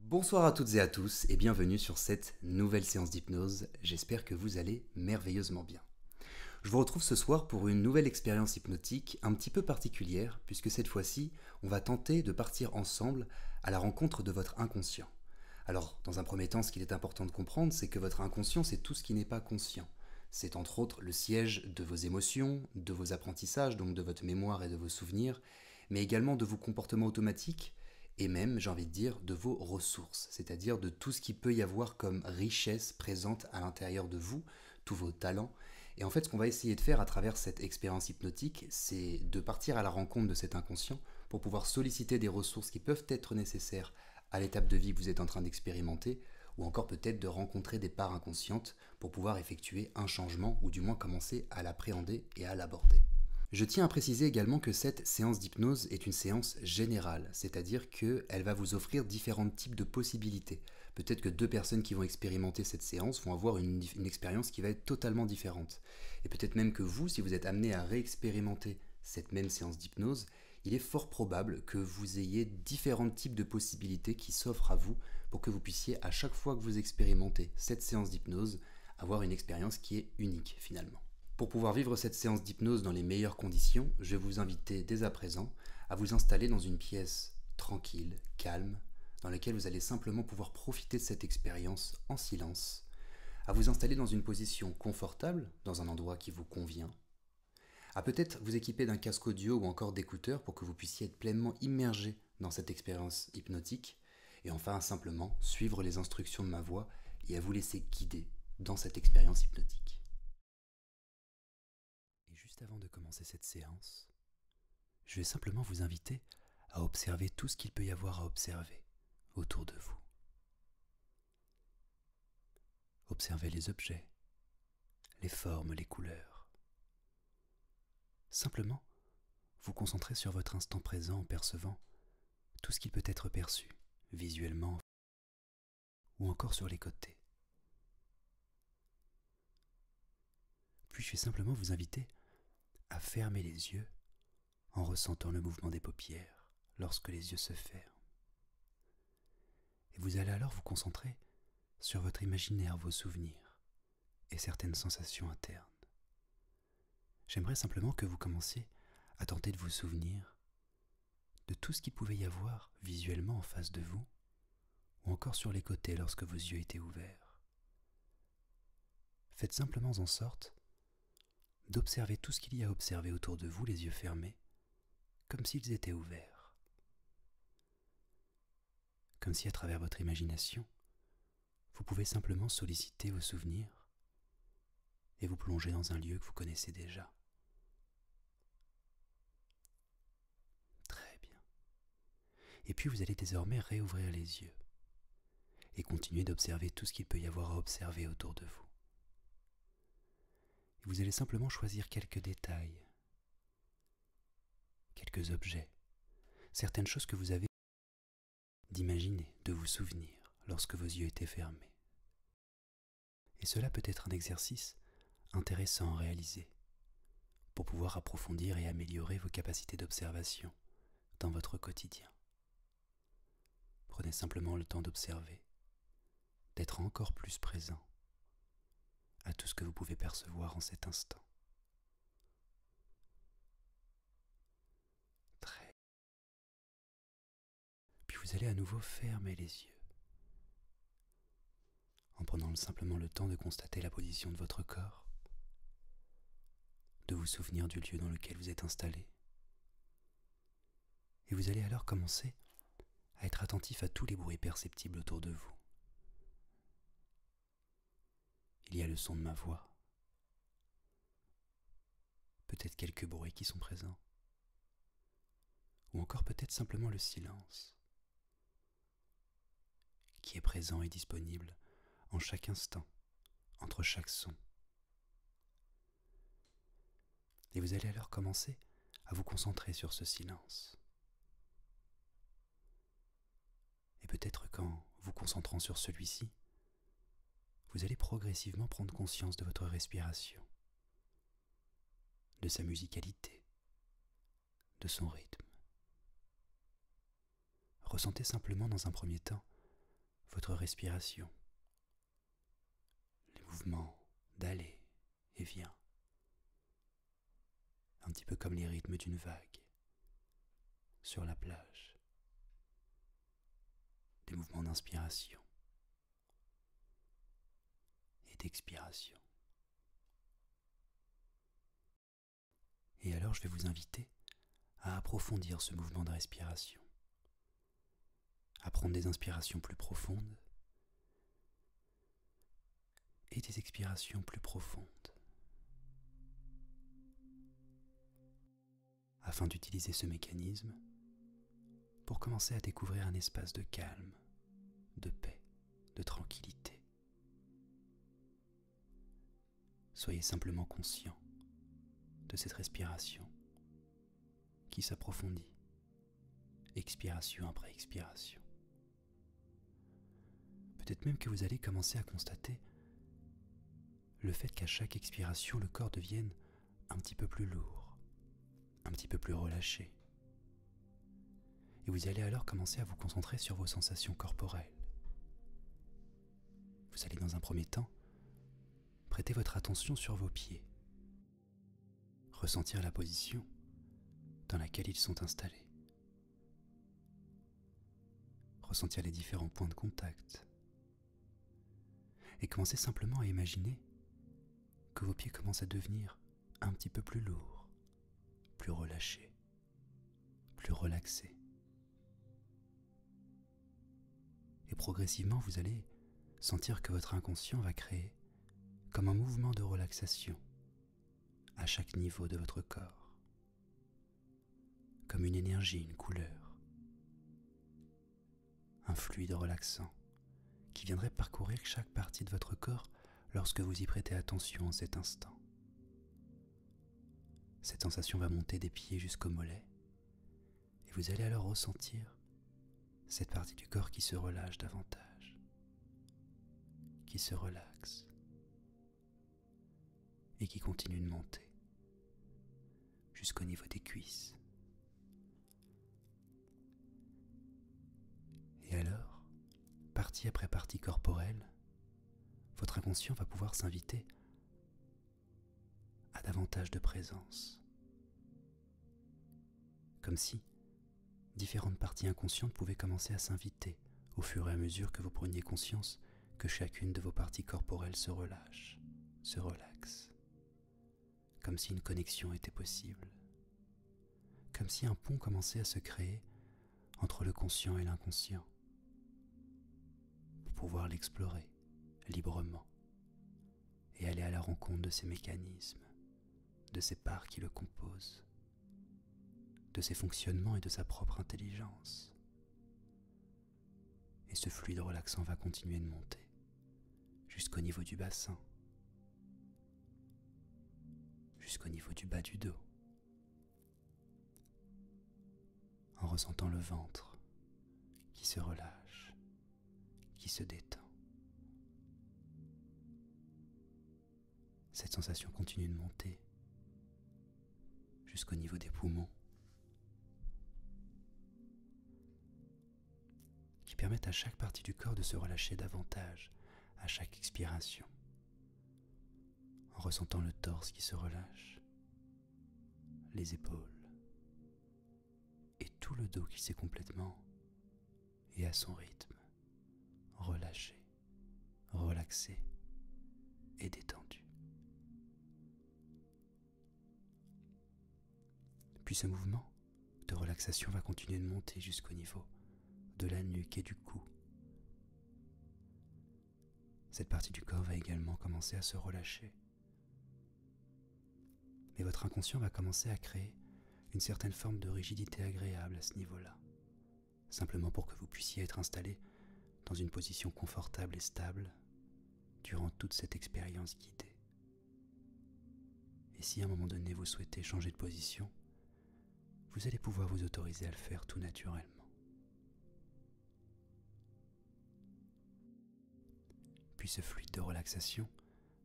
Bonsoir à toutes et à tous et bienvenue sur cette nouvelle séance d'hypnose. J'espère que vous allez merveilleusement bien. Je vous retrouve ce soir pour une nouvelle expérience hypnotique un petit peu particulière puisque cette fois-ci, on va tenter de partir ensemble à la rencontre de votre inconscient. Alors, dans un premier temps, ce qu'il est important de comprendre, c'est que votre inconscient, c'est tout ce qui n'est pas conscient. C'est entre autres le siège de vos émotions, de vos apprentissages, donc de votre mémoire et de vos souvenirs, mais également de vos comportements automatiques et même, j'ai envie de dire, de vos ressources, c'est-à-dire de tout ce qui peut y avoir comme richesse présente à l'intérieur de vous, tous vos talents. Et en fait, ce qu'on va essayer de faire à travers cette expérience hypnotique, c'est de partir à la rencontre de cet inconscient pour pouvoir solliciter des ressources qui peuvent être nécessaires à l'étape de vie que vous êtes en train d'expérimenter, ou encore peut-être de rencontrer des parts inconscientes pour pouvoir effectuer un changement, ou du moins commencer à l'appréhender et à l'aborder. Je tiens à préciser également que cette séance d'hypnose est une séance générale, c'est-à-dire qu'elle va vous offrir différents types de possibilités. Peut-être que deux personnes qui vont expérimenter cette séance vont avoir une expérience qui va être totalement différente. Et peut-être même que vous, si vous êtes amené à réexpérimenter cette même séance d'hypnose, il est fort probable que vous ayez différents types de possibilités qui s'offrent à vous pour que vous puissiez à chaque fois que vous expérimentez cette séance d'hypnose avoir une expérience qui est unique finalement. Pour pouvoir vivre cette séance d'hypnose dans les meilleures conditions, je vais vous inviter dès à présent à vous installer dans une pièce tranquille, calme, dans laquelle vous allez simplement pouvoir profiter de cette expérience en silence, à vous installer dans une position confortable, dans un endroit qui vous convient, à peut-être vous équiper d'un casque audio ou encore d'écouteurs pour que vous puissiez être pleinement immergé dans cette expérience hypnotique. Et enfin, simplement, suivre les instructions de ma voix et à vous laisser guider dans cette expérience hypnotique. Et juste avant de commencer cette séance, je vais simplement vous inviter à observer tout ce qu'il peut y avoir à observer autour de vous. Observez les objets, les formes, les couleurs. Simplement, vous concentrez sur votre instant présent en percevant tout ce qui peut être perçu, visuellement ou encore sur les côtés. Puis je vais simplement vous inviter à fermer les yeux en ressentant le mouvement des paupières lorsque les yeux se ferment. Et vous allez alors vous concentrer sur votre imaginaire, vos souvenirs et certaines sensations internes. J'aimerais simplement que vous commenciez à tenter de vous souvenir de tout ce qu'il pouvait y avoir visuellement en face de vous, ou encore sur les côtés lorsque vos yeux étaient ouverts. Faites simplement en sorte d'observer tout ce qu'il y a à observer autour de vous les yeux fermés, comme s'ils étaient ouverts. Comme si à travers votre imagination, vous pouvez simplement solliciter vos souvenirs et vous plonger dans un lieu que vous connaissez déjà. Très bien. Et puis vous allez désormais réouvrir les yeux et continuer d'observer tout ce qu'il peut y avoir à observer autour de vous. vous allez simplement choisir quelques détails, quelques objets, certaines choses que vous avez d'imaginer, de vous souvenir lorsque vos yeux étaient fermés. Et cela peut être un exercice intéressant à réaliser pour pouvoir approfondir et améliorer vos capacités d'observation dans votre quotidien. Prenez simplement le temps d'observer, d'être encore plus présent à tout ce que vous pouvez percevoir en cet instant. Très. Puis vous allez à nouveau fermer les yeux en prenant simplement le temps de constater la position de votre corps, de vous souvenir du lieu dans lequel vous êtes installé. Et vous allez alors commencer à être attentif à tous les bruits perceptibles autour de vous. Il y a le son de ma voix. Peut-être quelques bruits qui sont présents. Ou encore peut-être simplement le silence qui est présent et disponible en chaque instant, entre chaque son. Et vous allez alors commencer à vous concentrer sur ce silence. Et peut-être qu'en vous concentrant sur celui-ci, vous allez progressivement prendre conscience de votre respiration, de sa musicalité, de son rythme. Ressentez simplement dans un premier temps votre respiration, les mouvements d'aller et vient, un petit peu comme les rythmes d'une vague sur la plage des mouvements d'inspiration et d'expiration. Et alors je vais vous inviter à approfondir ce mouvement de respiration, à prendre des inspirations plus profondes et des expirations plus profondes afin d'utiliser ce mécanisme pour commencer à découvrir un espace de calme, de paix, de tranquillité. Soyez simplement conscient de cette respiration qui s'approfondit, expiration après expiration. Peut-être même que vous allez commencer à constater le fait qu'à chaque expiration, le corps devienne un petit peu plus lourd, un petit peu plus relâché. Et vous allez alors commencer à vous concentrer sur vos sensations corporelles. Vous allez dans un premier temps prêter votre attention sur vos pieds, ressentir la position dans laquelle ils sont installés, ressentir les différents points de contact et commencez simplement à imaginer que vos pieds commencent à devenir un petit peu plus lourds, plus relâchés, plus relaxés. Et progressivement, vous allez sentir que votre inconscient va créer comme un mouvement de relaxation à chaque niveau de votre corps comme une énergie, une couleur, un fluide relaxant qui viendrait parcourir chaque partie de votre corps lorsque vous y prêtez attention en cet instant. Cette sensation va monter des pieds jusqu'aux mollets et vous allez alors ressentir cette partie du corps qui se relâche davantage, qui se relaxe, et qui continue de monter jusqu'au niveau des cuisses. Et alors, partie après partie corporelle, votre inconscient va pouvoir s'inviter à davantage de présence. Comme si différentes parties inconscientes pouvaient commencer à s'inviter au fur et à mesure que vous preniez conscience que chacune de vos parties corporelles se relâche, se relaxe, comme si une connexion était possible, comme si un pont commençait à se créer entre le conscient et l'inconscient, pour pouvoir l'explorer librement et aller à la rencontre de ses mécanismes, de ses parts qui le composent, de ses fonctionnements et de sa propre intelligence. Et ce fluide relaxant va continuer de monter jusqu'au niveau du bassin, jusqu'au niveau du bas du dos, en ressentant le ventre qui se relâche, qui se détend. Cette sensation continue de monter jusqu'au niveau des poumons qui permettent à chaque partie du corps de se relâcher davantage à chaque expiration, en ressentant le torse qui se relâche, les épaules et tout le dos qui s'est complètement et à son rythme relâché, relaxé et détendu. Puis ce mouvement de relaxation va continuer de monter jusqu'au niveau de la nuque et du cou. Cette partie du corps va également commencer à se relâcher. Mais votre inconscient va commencer à créer une certaine forme de rigidité agréable à ce niveau-là, simplement pour que vous puissiez être installé dans une position confortable et stable durant toute cette expérience guidée. Et si à un moment donné vous souhaitez changer de position, vous allez pouvoir vous autoriser à le faire tout naturellement. Puis ce fluide de relaxation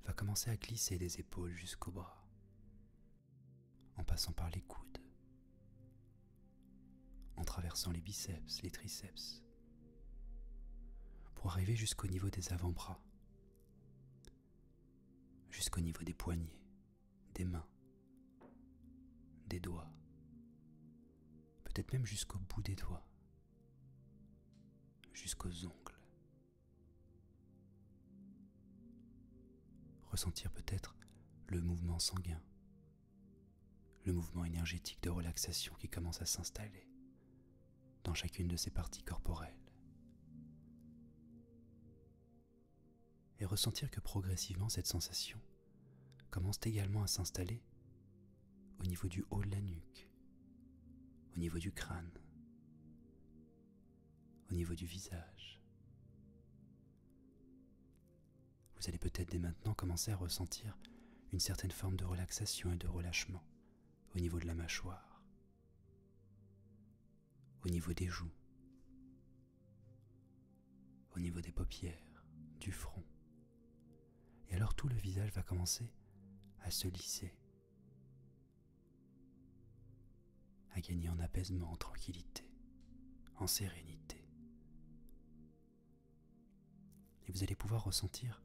va commencer à glisser des épaules jusqu'aux bras, en passant par les coudes, en traversant les biceps, les triceps, pour arriver jusqu'au niveau des avant-bras, jusqu'au niveau des poignets, des mains, des doigts, peut-être même jusqu'au bout des doigts, jusqu'aux ongles. Ressentir peut-être le mouvement sanguin le mouvement énergétique de relaxation qui commence à s'installer dans chacune de ces parties corporelles. Et ressentir que progressivement cette sensation commence également à s'installer au niveau du haut de la nuque, au niveau du crâne, au niveau du visage. Vous allez peut-être dès maintenant commencer à ressentir une certaine forme de relaxation et de relâchement au niveau de la mâchoire, au niveau des joues, au niveau des paupières, du front. Et alors tout le visage va commencer à se lisser, à gagner en apaisement, en tranquillité, en sérénité. Et vous allez pouvoir ressentir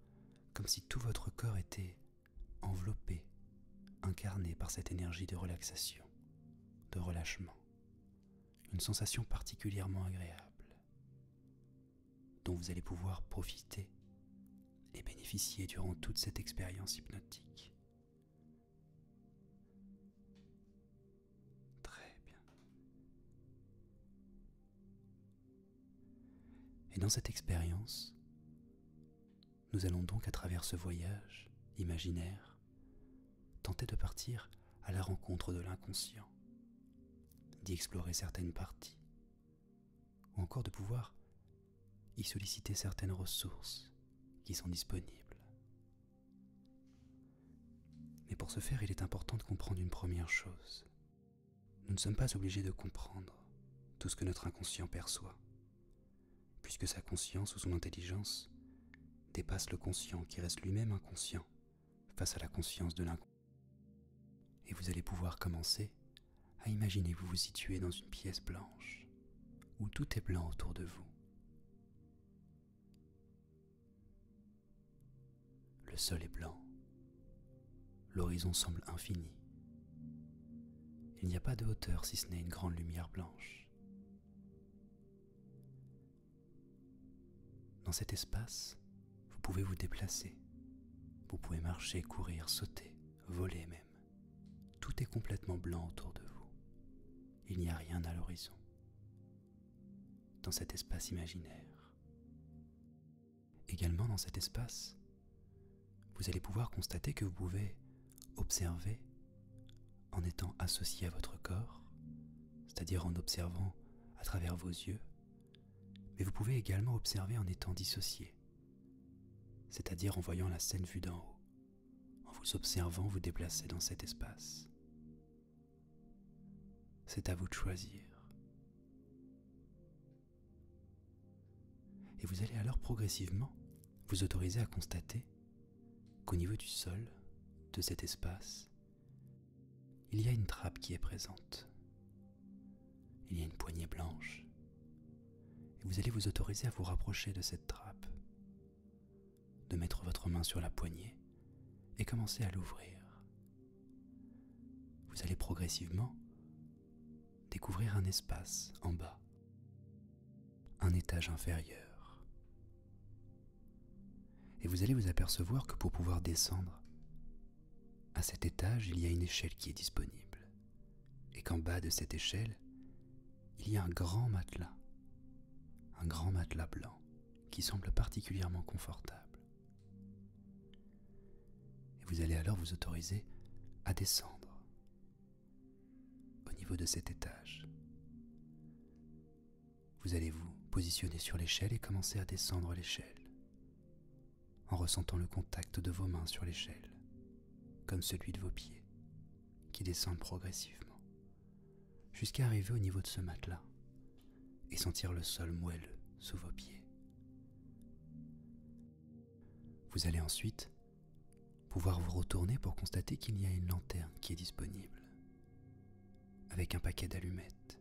comme si tout votre corps était enveloppé, incarné par cette énergie de relaxation, de relâchement. Une sensation particulièrement agréable dont vous allez pouvoir profiter et bénéficier durant toute cette expérience hypnotique. Très bien. Et dans cette expérience, nous allons donc à travers ce voyage imaginaire tenter de partir à la rencontre de l'inconscient, d'y explorer certaines parties, ou encore de pouvoir y solliciter certaines ressources qui sont disponibles. Mais pour ce faire, il est important de comprendre une première chose, nous ne sommes pas obligés de comprendre tout ce que notre inconscient perçoit, puisque sa conscience ou son intelligence dépasse le conscient qui reste lui-même inconscient face à la conscience de l'inconscient. Et vous allez pouvoir commencer à imaginer vous vous situez dans une pièce blanche, où tout est blanc autour de vous. Le sol est blanc. L'horizon semble infini. Il n'y a pas de hauteur si ce n'est une grande lumière blanche. Dans cet espace, vous pouvez vous déplacer. Vous pouvez marcher, courir, sauter, voler même. Tout est complètement blanc autour de vous. Il n'y a rien à l'horizon. Dans cet espace imaginaire, Également dans cet espace, vous allez pouvoir constater que vous pouvez observer en étant associé à votre corps, c'est-à-dire en observant à travers vos yeux, mais vous pouvez également observer en étant dissocié, c'est-à-dire en voyant la scène vue d'en haut, en vous observant vous déplacer dans cet espace. C'est à vous de choisir. Et vous allez alors progressivement vous autoriser à constater qu'au niveau du sol, de cet espace, il y a une trappe qui est présente. Il y a une poignée blanche. Et vous allez vous autoriser à vous rapprocher de cette trappe, de mettre votre main sur la poignée et commencer à l'ouvrir vous allez progressivement découvrir un espace en bas, un étage inférieur. Et vous allez vous apercevoir que pour pouvoir descendre, à cet étage, il y a une échelle qui est disponible. Et qu'en bas de cette échelle, il y a un grand matelas. Un grand matelas blanc qui semble particulièrement confortable. Et vous allez alors vous autoriser à descendre au niveau de cet étage. Vous allez vous positionner sur l'échelle et commencer à descendre l'échelle en ressentant le contact de vos mains sur l'échelle, comme celui de vos pieds, qui descendent progressivement, jusqu'à arriver au niveau de ce matelas, et sentir le sol moelleux sous vos pieds. Vous allez ensuite pouvoir vous retourner pour constater qu'il y a une lanterne qui est disponible, avec un paquet d'allumettes.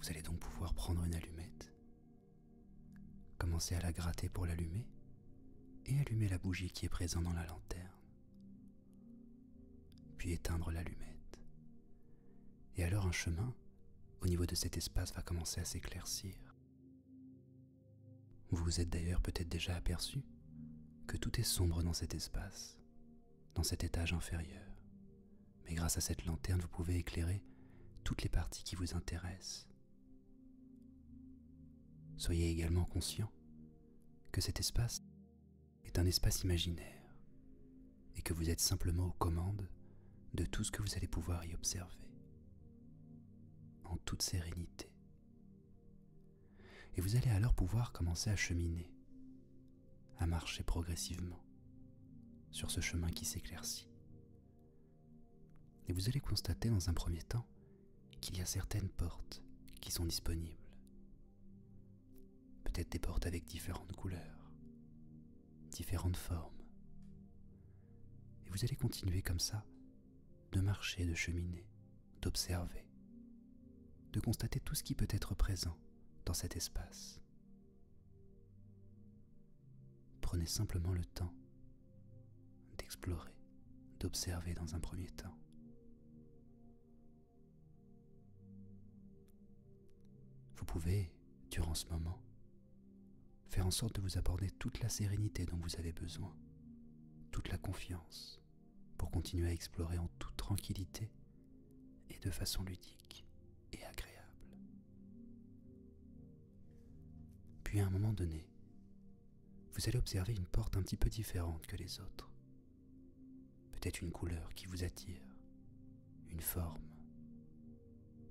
Vous allez donc pouvoir prendre une allumette, commencer à la gratter pour l'allumer, et allumer la bougie qui est présente dans la lanterne, puis éteindre l'allumette et alors un chemin au niveau de cet espace va commencer à s'éclaircir. Vous vous êtes d'ailleurs peut-être déjà aperçu que tout est sombre dans cet espace, dans cet étage inférieur. Mais grâce à cette lanterne, vous pouvez éclairer toutes les parties qui vous intéressent. Soyez également conscient que cet espace est un espace imaginaire et que vous êtes simplement aux commandes de tout ce que vous allez pouvoir y observer, en toute sérénité. Et vous allez alors pouvoir commencer à cheminer, à marcher progressivement sur ce chemin qui s'éclaircit. Et vous allez constater dans un premier temps qu'il y a certaines portes qui sont disponibles peut-être des portes avec différentes couleurs, différentes formes. Et vous allez continuer comme ça, de marcher, de cheminer, d'observer, de constater tout ce qui peut être présent dans cet espace. Prenez simplement le temps d'explorer, d'observer dans un premier temps. Vous pouvez, durant ce moment, faire en sorte de vous apporter toute la sérénité dont vous avez besoin, toute la confiance, pour continuer à explorer en toute tranquillité et de façon ludique et agréable. Puis à un moment donné, vous allez observer une porte un petit peu différente que les autres peut-être une couleur qui vous attire, une forme,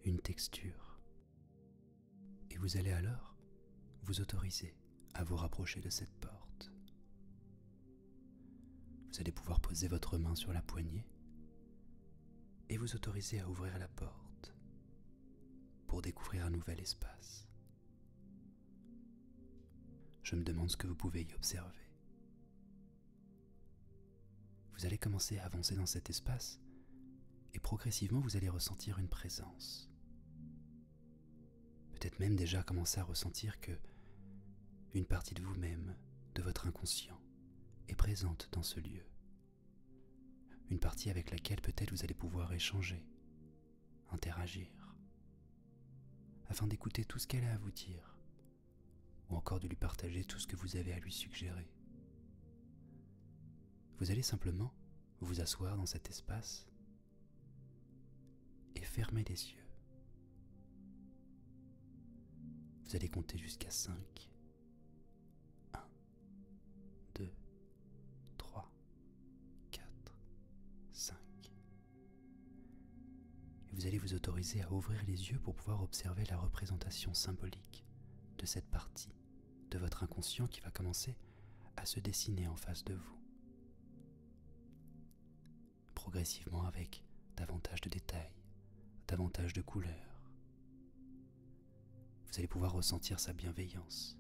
une texture. Et vous allez alors vous autoriser à vous rapprocher de cette porte. Vous allez pouvoir poser votre main sur la poignée et vous autoriser à ouvrir la porte pour découvrir un nouvel espace. Je me demande ce que vous pouvez y observer. Vous allez commencer à avancer dans cet espace et progressivement vous allez ressentir une présence. Peut-être même déjà commencer à ressentir que une partie de vous-même, de votre inconscient, est présente dans ce lieu. Une partie avec laquelle peut-être vous allez pouvoir échanger, interagir, afin d'écouter tout ce qu'elle a à vous dire ou encore de lui partager tout ce que vous avez à lui suggérer. Vous allez simplement vous asseoir dans cet espace et fermer les yeux. Vous allez compter jusqu'à 5. 1, 2, 3, 4, 5 vous allez vous autoriser à ouvrir les yeux pour pouvoir observer la représentation symbolique de cette partie de votre inconscient qui va commencer à se dessiner en face de vous. Progressivement avec davantage de détails, davantage de couleurs. Vous allez pouvoir ressentir sa bienveillance.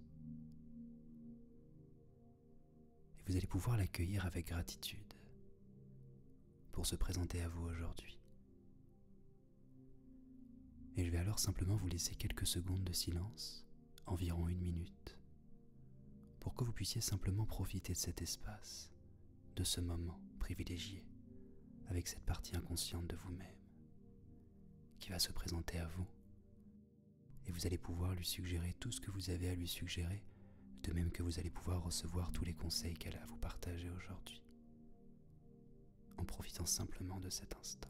Et vous allez pouvoir l'accueillir avec gratitude pour se présenter à vous aujourd'hui. Et je vais alors simplement vous laisser quelques secondes de silence, environ une minute, pour que vous puissiez simplement profiter de cet espace, de ce moment privilégié, avec cette partie inconsciente de vous-même, qui va se présenter à vous, et vous allez pouvoir lui suggérer tout ce que vous avez à lui suggérer, de même que vous allez pouvoir recevoir tous les conseils qu'elle a à vous partager aujourd'hui en profitant simplement de cet instant.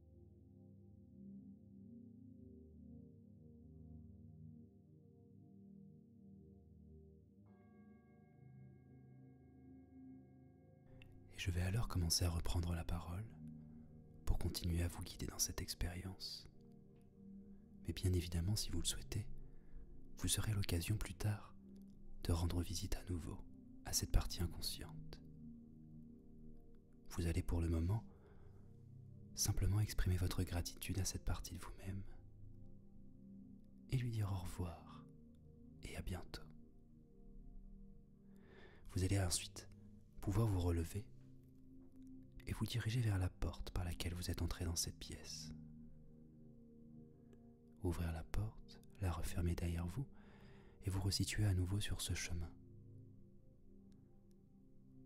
Et je vais alors commencer à reprendre la parole pour continuer à vous guider dans cette expérience. Mais bien évidemment, si vous le souhaitez, vous serez l'occasion plus tard de rendre visite à nouveau à cette partie inconsciente. Vous allez pour le moment simplement exprimer votre gratitude à cette partie de vous-même et lui dire au revoir et à bientôt. Vous allez ensuite pouvoir vous relever et vous diriger vers la porte par laquelle vous êtes entré dans cette pièce. Ouvrir la porte, la refermer derrière vous et vous resituer à nouveau sur ce chemin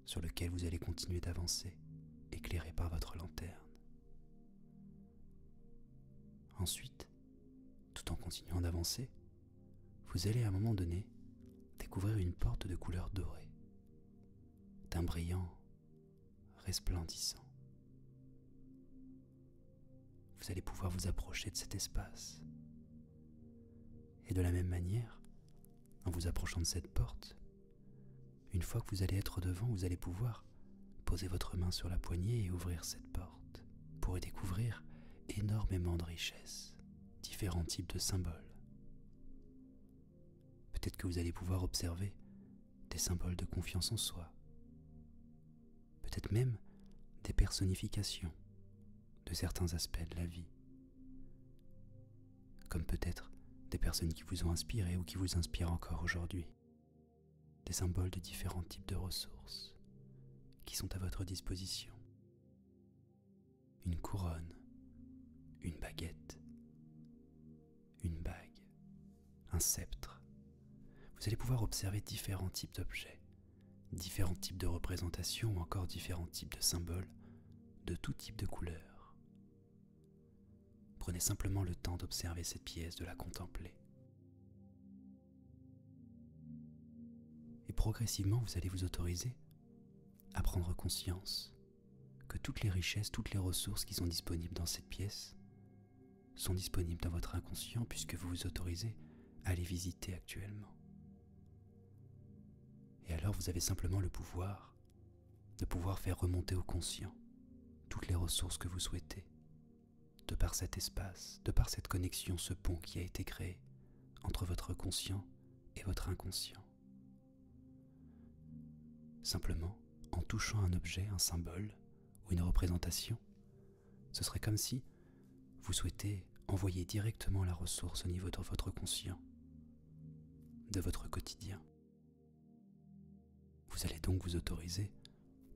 sur lequel vous allez continuer d'avancer, éclairé par votre lanterne. Ensuite, tout en continuant d'avancer, vous allez à un moment donné découvrir une porte de couleur dorée, d'un brillant resplendissant. Vous allez pouvoir vous approcher de cet espace. Et de la même manière, en vous approchant de cette porte. Une fois que vous allez être devant, vous allez pouvoir poser votre main sur la poignée et ouvrir cette porte. pour pourrez découvrir énormément de richesses, différents types de symboles. Peut-être que vous allez pouvoir observer des symboles de confiance en soi. Peut-être même des personnifications de certains aspects de la vie comme peut-être des personnes qui vous ont inspiré ou qui vous inspirent encore aujourd'hui. Des symboles de différents types de ressources qui sont à votre disposition. Une couronne, une baguette, une bague, un sceptre. Vous allez pouvoir observer différents types d'objets, différents types de représentations ou encore différents types de symboles de tout type de couleurs. Prenez simplement le temps d'observer cette pièce, de la contempler. Et progressivement, vous allez vous autoriser à prendre conscience que toutes les richesses, toutes les ressources qui sont disponibles dans cette pièce sont disponibles dans votre inconscient puisque vous vous autorisez à les visiter actuellement. Et alors vous avez simplement le pouvoir de pouvoir faire remonter au conscient toutes les ressources que vous souhaitez, de par cet espace, de par cette connexion, ce pont qui a été créé entre votre conscient et votre inconscient. Simplement, en touchant un objet, un symbole ou une représentation, ce serait comme si vous souhaitez envoyer directement la ressource au niveau de votre conscient de votre quotidien. Vous allez donc vous autoriser,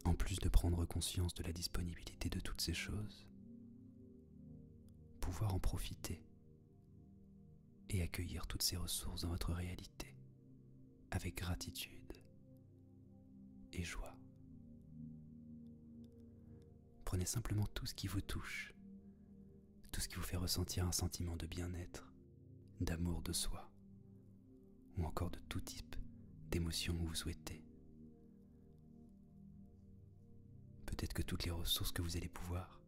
en plus de prendre conscience de la disponibilité de toutes ces choses, pouvoir en profiter et accueillir toutes ces ressources dans votre réalité avec gratitude et joie. Prenez simplement tout ce qui vous touche tout ce qui vous fait ressentir un sentiment de bien-être, d'amour de soi, ou encore de tout type d'émotion que vous souhaitez. Peut-être que toutes les ressources que vous allez pouvoir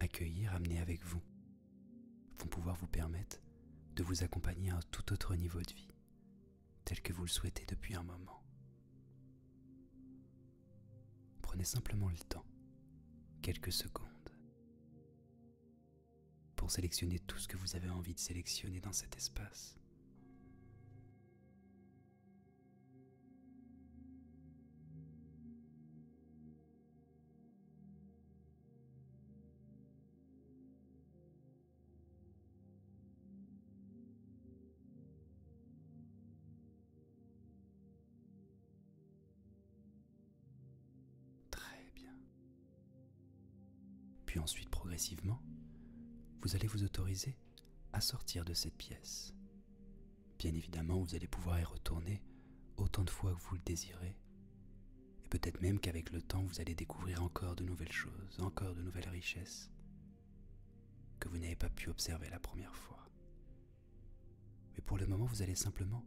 accueillir, amener avec vous, vont pouvoir vous permettre de vous accompagner à un tout autre niveau de vie, tel que vous le souhaitez depuis un moment. Prenez simplement le temps, quelques secondes, pour sélectionner tout ce que vous avez envie de sélectionner dans cet espace. Très bien. Puis ensuite, progressivement, vous allez vous autoriser à sortir de cette pièce. Bien évidemment, vous allez pouvoir y retourner autant de fois que vous le désirez. Et peut-être même qu'avec le temps, vous allez découvrir encore de nouvelles choses, encore de nouvelles richesses que vous n'avez pas pu observer la première fois. Mais pour le moment, vous allez simplement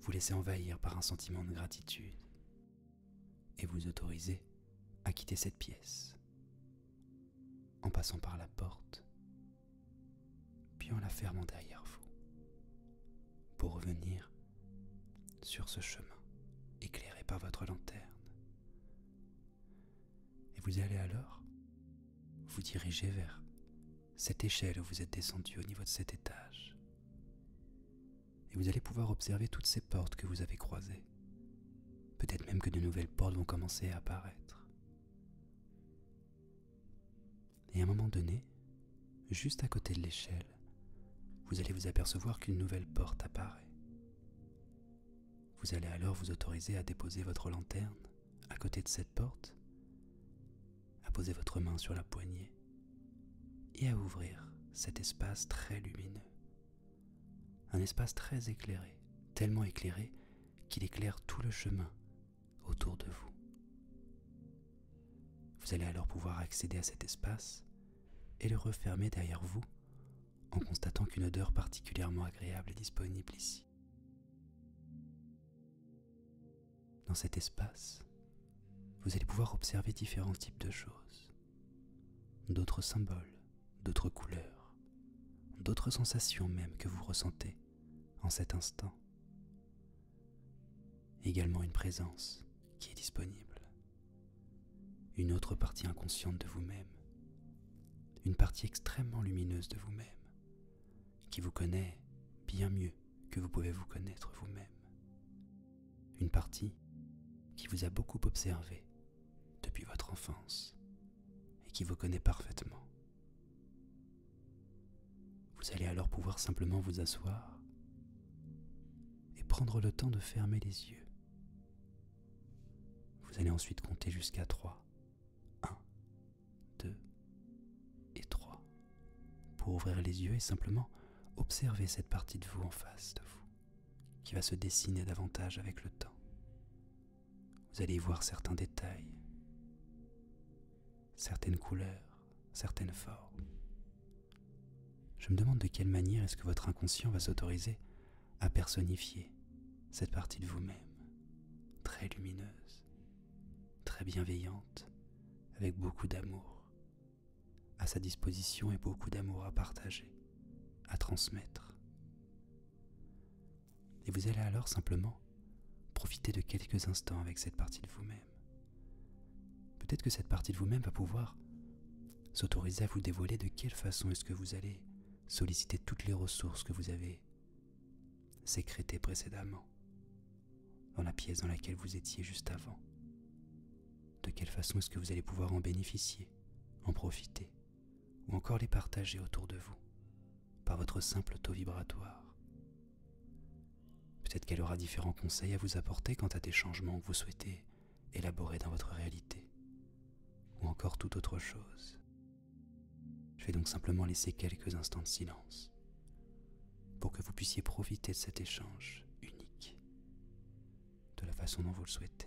vous laisser envahir par un sentiment de gratitude et vous autoriser à quitter cette pièce en passant par la porte, puis en la fermant derrière vous, pour revenir sur ce chemin éclairé par votre lanterne. Et vous allez alors vous diriger vers cette échelle où vous êtes descendu au niveau de cet étage. Et vous allez pouvoir observer toutes ces portes que vous avez croisées. Peut-être même que de nouvelles portes vont commencer à apparaître. Et à un moment donné, juste à côté de l'échelle, vous allez vous apercevoir qu'une nouvelle porte apparaît. Vous allez alors vous autoriser à déposer votre lanterne à côté de cette porte, à poser votre main sur la poignée et à ouvrir cet espace très lumineux. Un espace très éclairé, tellement éclairé qu'il éclaire tout le chemin autour de vous. Vous allez alors pouvoir accéder à cet espace et le refermer derrière vous en constatant qu'une odeur particulièrement agréable est disponible ici. Dans cet espace, vous allez pouvoir observer différents types de choses, d'autres symboles, d'autres couleurs, d'autres sensations même que vous ressentez en cet instant. Également une présence qui est disponible, une autre partie inconsciente de vous-même, une partie extrêmement lumineuse de vous-même qui vous connaît bien mieux que vous pouvez vous connaître vous-même. Une partie qui vous a beaucoup observé depuis votre enfance et qui vous connaît parfaitement. Vous allez alors pouvoir simplement vous asseoir et prendre le temps de fermer les yeux. Vous allez ensuite compter jusqu'à 3. 1, 2 et 3 pour ouvrir les yeux et simplement observer cette partie de vous en face de vous qui va se dessiner davantage avec le temps. Vous allez y voir certains détails, certaines couleurs, certaines formes. Je me demande de quelle manière est-ce que votre inconscient va s'autoriser à personnifier cette partie de vous-même, très lumineuse, très bienveillante, avec beaucoup d'amour, à sa disposition et beaucoup d'amour à partager, à transmettre. Et vous allez alors simplement profiter de quelques instants avec cette partie de vous-même. Peut-être que cette partie de vous-même va pouvoir s'autoriser à vous dévoiler de quelle façon est-ce que vous allez solliciter toutes les ressources que vous avez sécrétée précédemment dans la pièce dans laquelle vous étiez juste avant De quelle façon est-ce que vous allez pouvoir en bénéficier, en profiter, ou encore les partager autour de vous, par votre simple taux vibratoire Peut-être qu'elle aura différents conseils à vous apporter quant à des changements que vous souhaitez élaborer dans votre réalité, ou encore toute autre chose. Je vais donc simplement laisser quelques instants de silence pour que vous puissiez profiter de cet échange unique de la façon dont vous le souhaitez.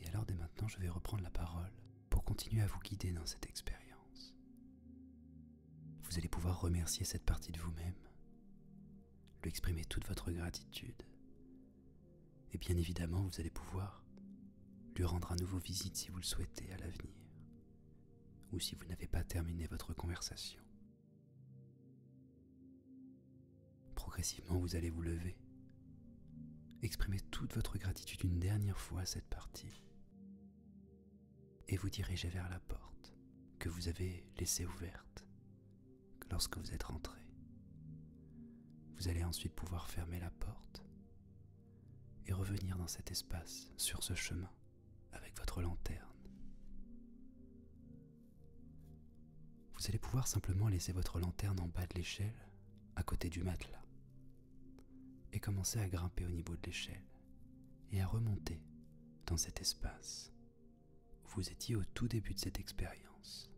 Et alors dès maintenant, je vais reprendre la parole pour continuer à vous guider dans cette expérience. Vous allez pouvoir remercier cette partie de vous-même lui exprimer toute votre gratitude. Et bien évidemment, vous allez pouvoir lui rendre à nouveau visite si vous le souhaitez à l'avenir, ou si vous n'avez pas terminé votre conversation. Progressivement, vous allez vous lever, exprimer toute votre gratitude une dernière fois à cette partie, et vous diriger vers la porte que vous avez laissée ouverte lorsque vous êtes rentré. Vous allez ensuite pouvoir fermer la porte et revenir dans cet espace, sur ce chemin, avec votre lanterne. Vous allez pouvoir simplement laisser votre lanterne en bas de l'échelle, à côté du matelas, et commencer à grimper au niveau de l'échelle et à remonter dans cet espace vous étiez au tout début de cette expérience.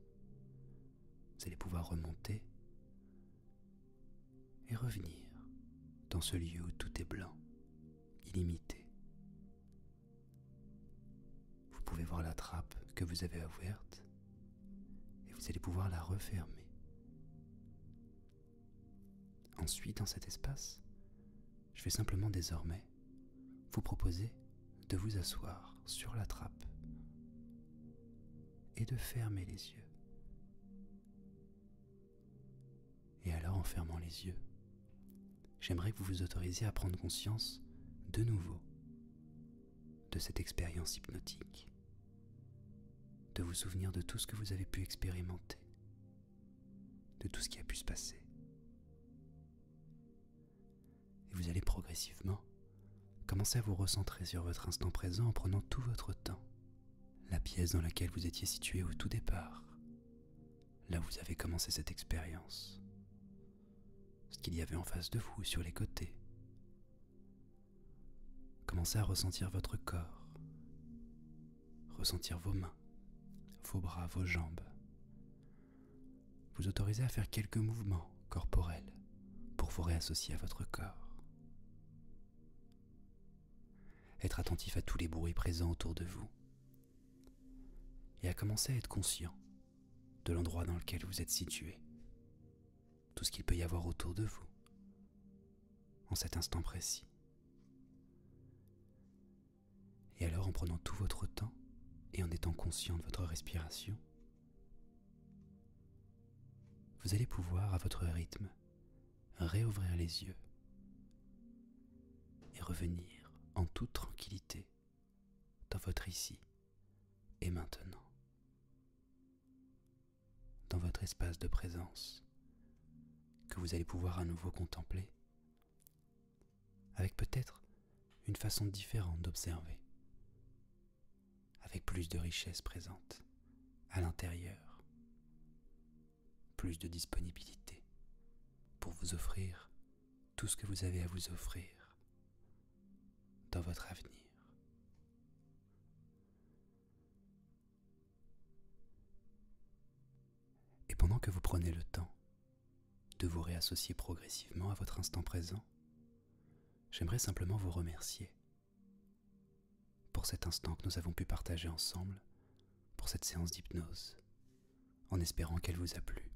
Vous allez pouvoir remonter et revenir dans ce lieu où tout est blanc, illimité. Vous pouvez voir la trappe que vous avez ouverte et vous allez pouvoir la refermer. Ensuite, dans cet espace, je vais simplement désormais vous proposez de vous asseoir sur la trappe et de fermer les yeux. Et alors en fermant les yeux, j'aimerais que vous vous autorisiez à prendre conscience de nouveau de cette expérience hypnotique, de vous souvenir de tout ce que vous avez pu expérimenter, de tout ce qui a pu se passer. Et vous allez progressivement commencer à vous recentrer sur votre instant présent en prenant tout votre temps. La pièce dans laquelle vous étiez situé au tout départ. Là où vous avez commencé cette expérience. Ce qu'il y avait en face de vous, sur les côtés. Commencez à ressentir votre corps. Ressentir vos mains, vos bras, vos jambes vous autorisez à faire quelques mouvements corporels pour vous réassocier à votre corps. Être attentif à tous les bruits présents autour de vous et à commencer à être conscient de l'endroit dans lequel vous êtes situé, tout ce qu'il peut y avoir autour de vous en cet instant précis. Et alors en prenant tout votre temps et en étant conscient de votre respiration, vous allez pouvoir à votre rythme réouvrir les yeux et revenir en toute tranquillité dans votre ici et maintenant, dans votre espace de présence que vous allez pouvoir à nouveau contempler avec peut-être une façon différente d'observer, avec plus de richesse présente à l'intérieur, plus de disponibilité pour vous offrir tout ce que vous avez à vous offrir dans votre avenir. Et pendant que vous prenez le temps de vous réassocier progressivement à votre instant présent, j'aimerais simplement vous remercier pour cet instant que nous avons pu partager ensemble, pour cette séance d'hypnose, en espérant qu'elle vous a plu.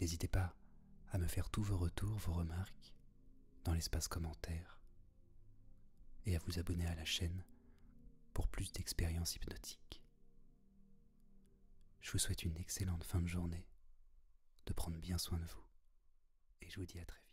N'hésitez pas à me faire tous vos retours, vos remarques dans l'espace commentaire et à vous abonner à la chaîne pour plus d'expériences hypnotiques. Je vous souhaite une excellente fin de journée, de prendre bien soin de vous, et je vous dis à très vite.